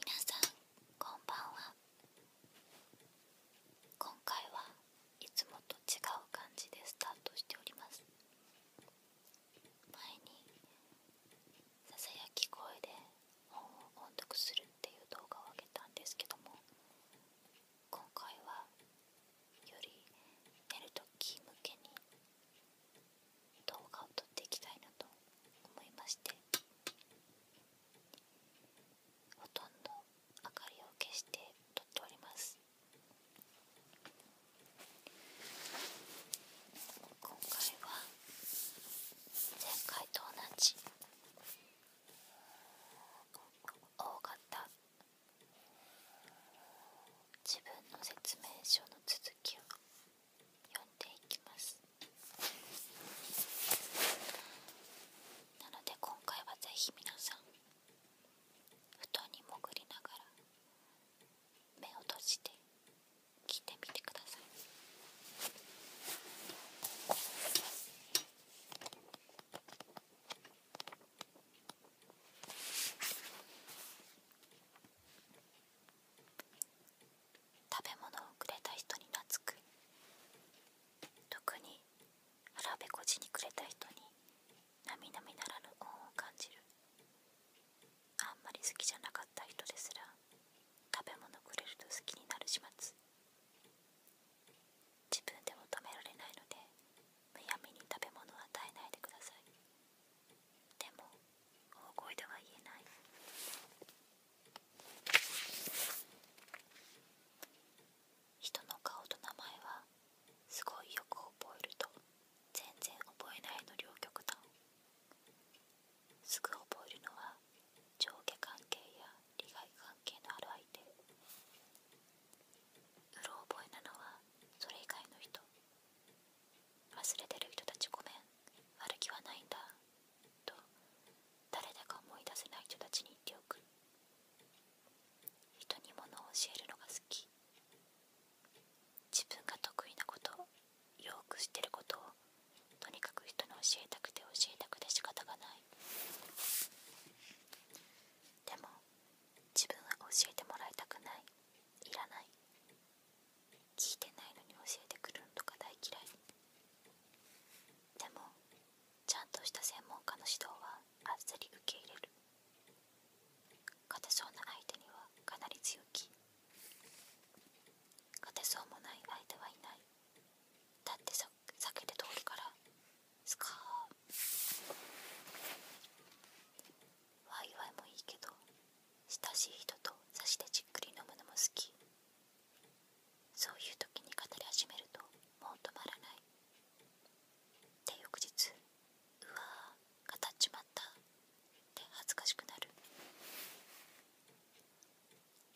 皆さんこんばんは今回はいつもと違う感じでスタートしております前に囁き声で本を音読するっていう動画をあげたんですけども今回はより寝るとき向けに動画を撮っていきたいなと思いましてほとんど明かりを消して撮っております今回は前回と同じ大型自分の説明書の続きを読んでいきますなので今回はぜひ皆さん布団に潜りながら目を閉じて聞いてみてください食べ物をくれた人に懐く特に腹べこちにくれた人になみなみならぬ恩を感じるあんまり好きじゃなかった人ですら食べ物くれると好きになる始末自分でも止められないのでむやみに食べ物を与えないでくださいでも大声では言えない人の顔と名前はすごいよく覚えると全然覚えないの両極端すぐ覚えるのは上下関係や利害関係のある相手うろ覚えなのはそれ以外の人忘れてる人たちごめん悪気はないんだと誰だか思い出せない人たちに言っておく人にものを教えるのが好き自分が得意なことよく知ってることとにかく人に教えたくて教えたくて仕方がないでも自分は教えてもらいたくないいらない聞いてないのに教えてくるのとか大嫌いでもちゃんとした専門家の指導はあっさり受け入れる勝てそうな相手にはかなり強気勝てそうもない相手はいないだってさけて通るからスカーワイワイもいいけど親しい人と差しでじっくり飲むのも好きそういう時に語り始めるともう止まらないで翌日うわー語っちまったって恥ずかしくなる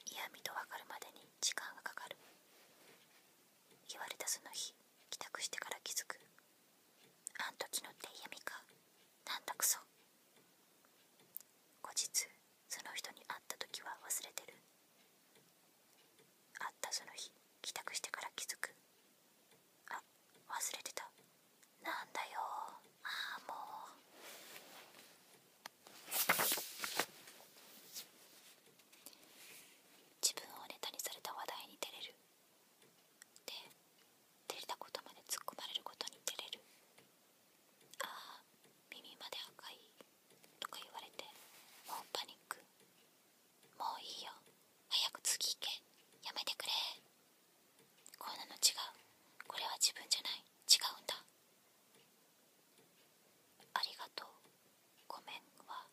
嫌味と分かるまでに時間がかかる言われたその日帰宅してから気づくあん時のって嫌みかなんだくそ後日その人に会った時は忘れてる会ったその日帰宅してから気づくあ忘れてたなんだよああもう自分をネタにされた話題に照れるで照たことまで突っ込まれることに照れるああ耳まで赤いとか言われてもうパニックもういいよ早く次行けやめてくれこんなの違うこれは自分じゃない違うんだありがとうごめんは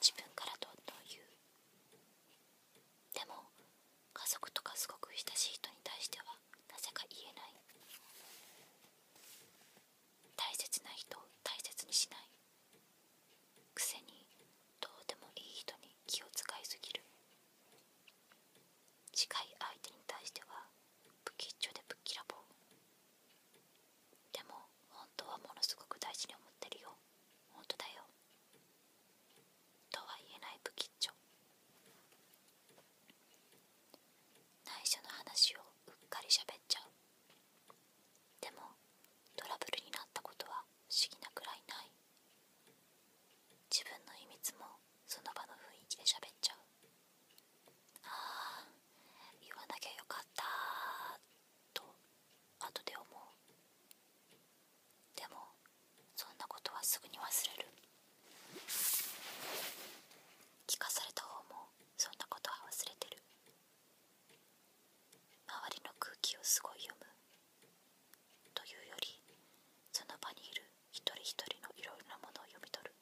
自分からと。んどん言うでも家族とかすごく親しい人に対してはなぜか言えない大切な人を大切にしないくせにどうでもいい人に気を使いすぎる近い相手に対しては不吉祥でぶっきらぼうでも本当はものすごく大事に思ってるよ本当だよとは言えない不吉祥内緒の話をうっかりしゃべっちゃうでもトラブルになったことは不思議なくらいない自分の秘密もその場の雰囲気でしゃべっちゃうああ言わなきゃよかったあとで思うでもそんなことはすぐに忘れる聞かされた方もそんなことは忘れてる周りの空気をすごい読むというよりその場にいる一人一人のいろいろなものを読み取る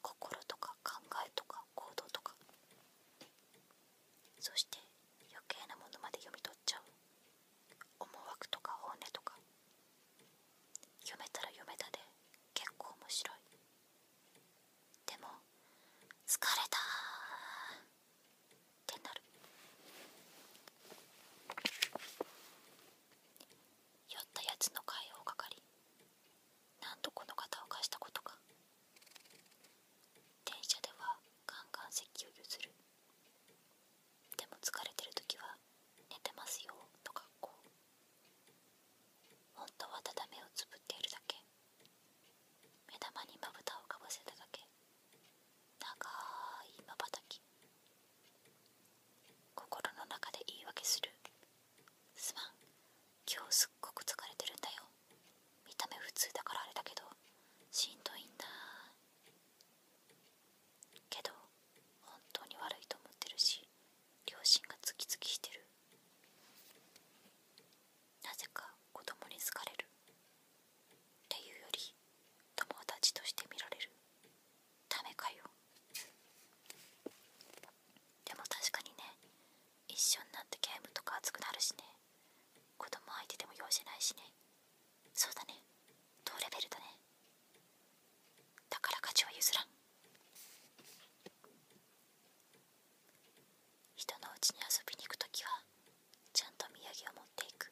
心とか考えとか行動とかそして余計なものまで読み取る。っゃ思惑とか本音とか読めたら読めたで結構面白いでも疲れたってなる酔ったやつの会をかかり。なんとこの方を貸したことか電車ではガンガン席を譲るでも疲れてる時は寝てますよと格好本当はただ目をつぶっているだけ目玉にまぶたをかぶせただけ長いまばたき心の中で言い訳するすまん今日すっごく疲れてるんだよ見た目普通だからあれだけどしんどいんだけど本当に悪いと思ってるし両親がツキツキしてるなぜか子供に好かれるっていうより友達として見られるダメかよでも確かにね一緒になってゲームとか熱くなるしね子供相手でも用事ないしねそうだね同レベルだねだから価値は譲らん人のうちに遊びに行くときはちゃんと土産を持っていく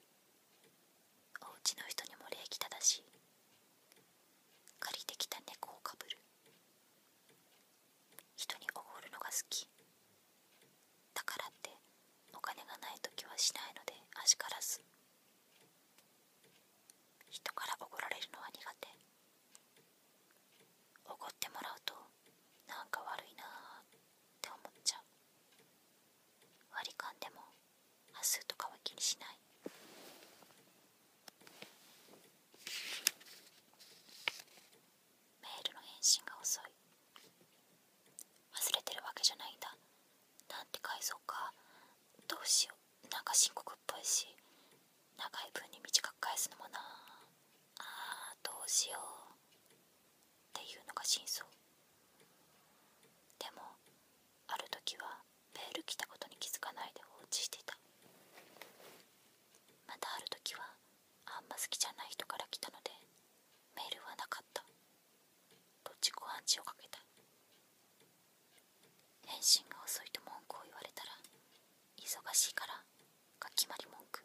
おうちの人にも礼儀正しい借りてきた猫をかぶる人におごるのが好きだからってお金がない時はしないのであしからず人からおごられるのは苦手おごってもらうとなんか悪いなって思っちゃう割り勘でも端数とかは気にしないメールの返信が遅い忘れてるわけじゃないんだなんて返そうかどうしようなんか深刻っぽいし長い分に短く返すのもなあーどうしようっていうのが真相でもある時はメール来たことに気づかないで放置してたまたある時はあんま好きじゃない人から来たのでメールはなかったと自己暗示をかけた返信が遅いと文句を言われたら忙しいからが決まり文句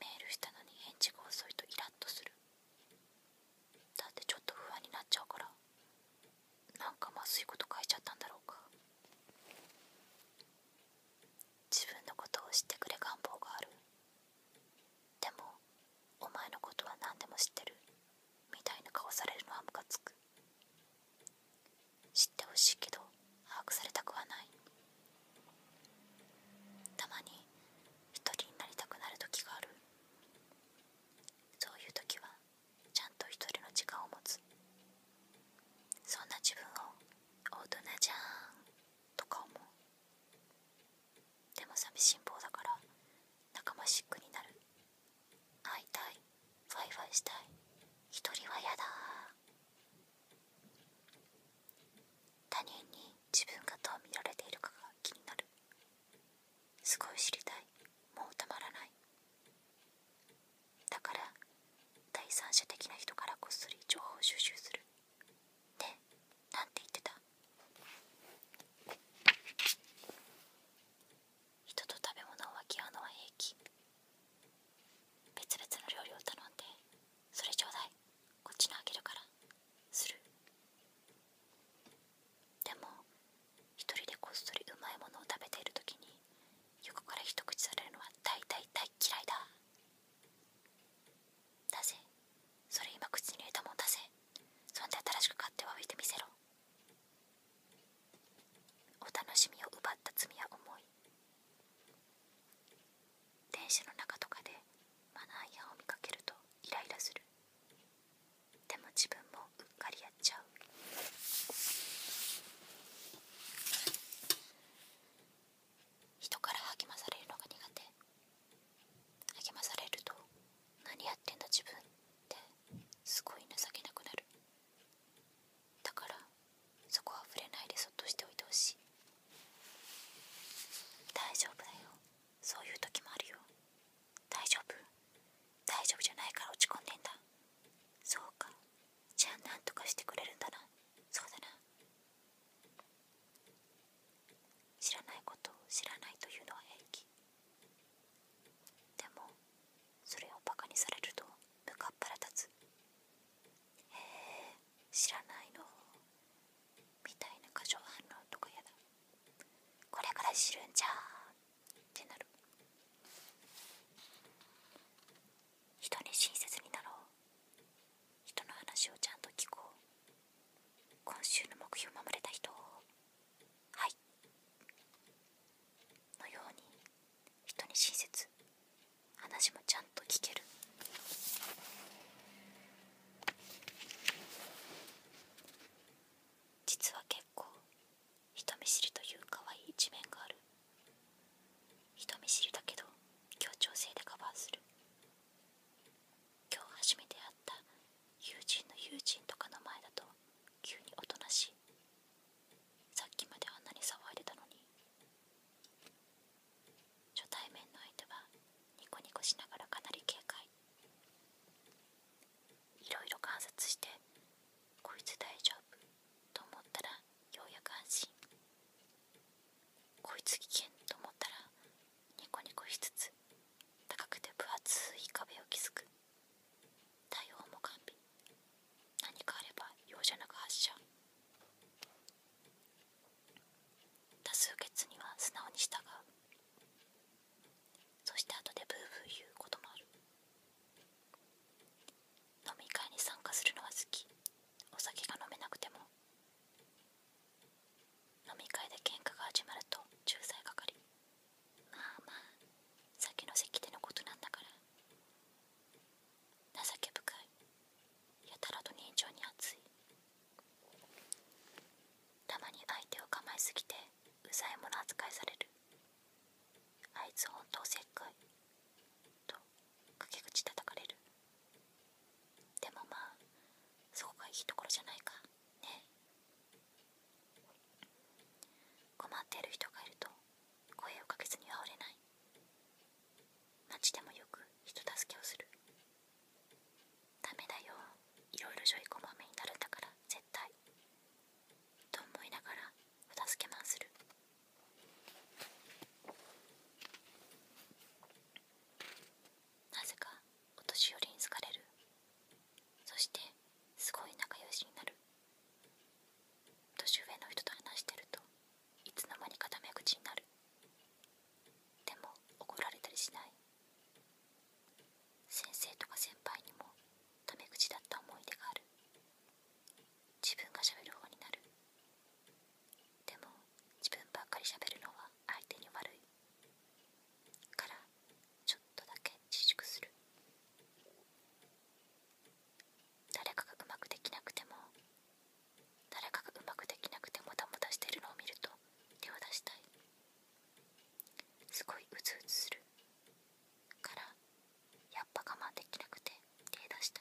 メールしたのに返事が遅いとイラッとするだってちょっと不安になっちゃうからなんかまずいこと書いちゃったんだろうか自分のことを知ってくれ願望があるでもお前のことは何でも知ってるみたいな顔されるのはムカつく知ってほしいけど把握されたくはないたまに一人になりたくなる時があるそういう時はちゃんと一人の時間を持つそんな自分を大人じゃんとか思うでも寂しん坊だから仲間シックになる会いたいワイワイしたい一人はやだ他人に自分がどう見られているかが気になるすごい知りたいもうたまらないだから第三者的な人からこっそり情報収集するねなんて言ってた人と食べ物を分け合うのは平気別々の料理を頼んでそれちょうだいこっちのあげるからするでも一人でこっそりうまいものを食べている時に横から一口されるのは大大大嫌いだだぜそれ今口に入れたもんだぜそんで新しく買っておいてみせろお楽しみを奪った罪は重い電車の中とかでマナー違を見かけるとイライラするでも自分もうっかりやっちゃう人から励まされるのが苦手励まされると何やってんだ自分ってすごい情けなくなるだからそこは触れないでそっとしておいてほしい大丈夫だよそういう時もあるよ大丈夫大丈夫じゃないから落ち込んでんだそうかじゃあなんとかしてくれるんだなそうだな知らないことを知らないというのは平気でもそれをバカにされると向かっぱら立つへえ知らないのみたいな過剰反応とかやだこれから知るんじゃってなる人に親切になろう人の話をちゃんと聞こう今週の目標を守れた人を。はいのように人に親切話もちゃんと聞ける実は結構人見知りという可愛い一面がある人見知りだけど協調性でカバーする今日初めて会った友人の友人とかの前だと急に大人しいさっきまであんなに騒いでたのに初対面の相手はニコニコしながらかなり警戒いろいろ観察してこいつ大丈夫と思ったらようやく安心こいつ危険と思ったらニコニコしつつ高くて分厚い壁を築く対応も完備何かあれば容赦なく発射多数決には素直に従うそして後でブーブー言うこともある飲み会に参加するのは好きお酒が飲めなくても飲み会で喧嘩が始まると仲裁係まあまあ先の席でのことなんだから情け深いやたらと人情に熱いたまに相手を構えすぎてうざいもの扱いされるあいつ本当せっかいと陰口叩かれるでもまあそこがいいところじゃないかね困っている人がいると声をかけずにあおれない街でもよく人助けをするダメだよいろいろジョイコまめになるんだから絶対と思いながらお助けマンするなぜかお年寄りに好かれるそしてすごい仲良しになる年上の人と話してるといつの間にかタメ口になるでも怒られたりしない先生とか先輩にもタメ口だった思い出がある自分がしゃべる方になるでも自分ばっかりしゃべるのは相手に悪いからちょっとだけ自粛する誰かがうまくできなくても誰かがうまくできなくてもだもたしてるのを見ると手を出したいすごいうつうつするからやっぱ我慢できなくて手出した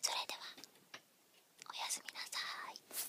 それではおやすみなさい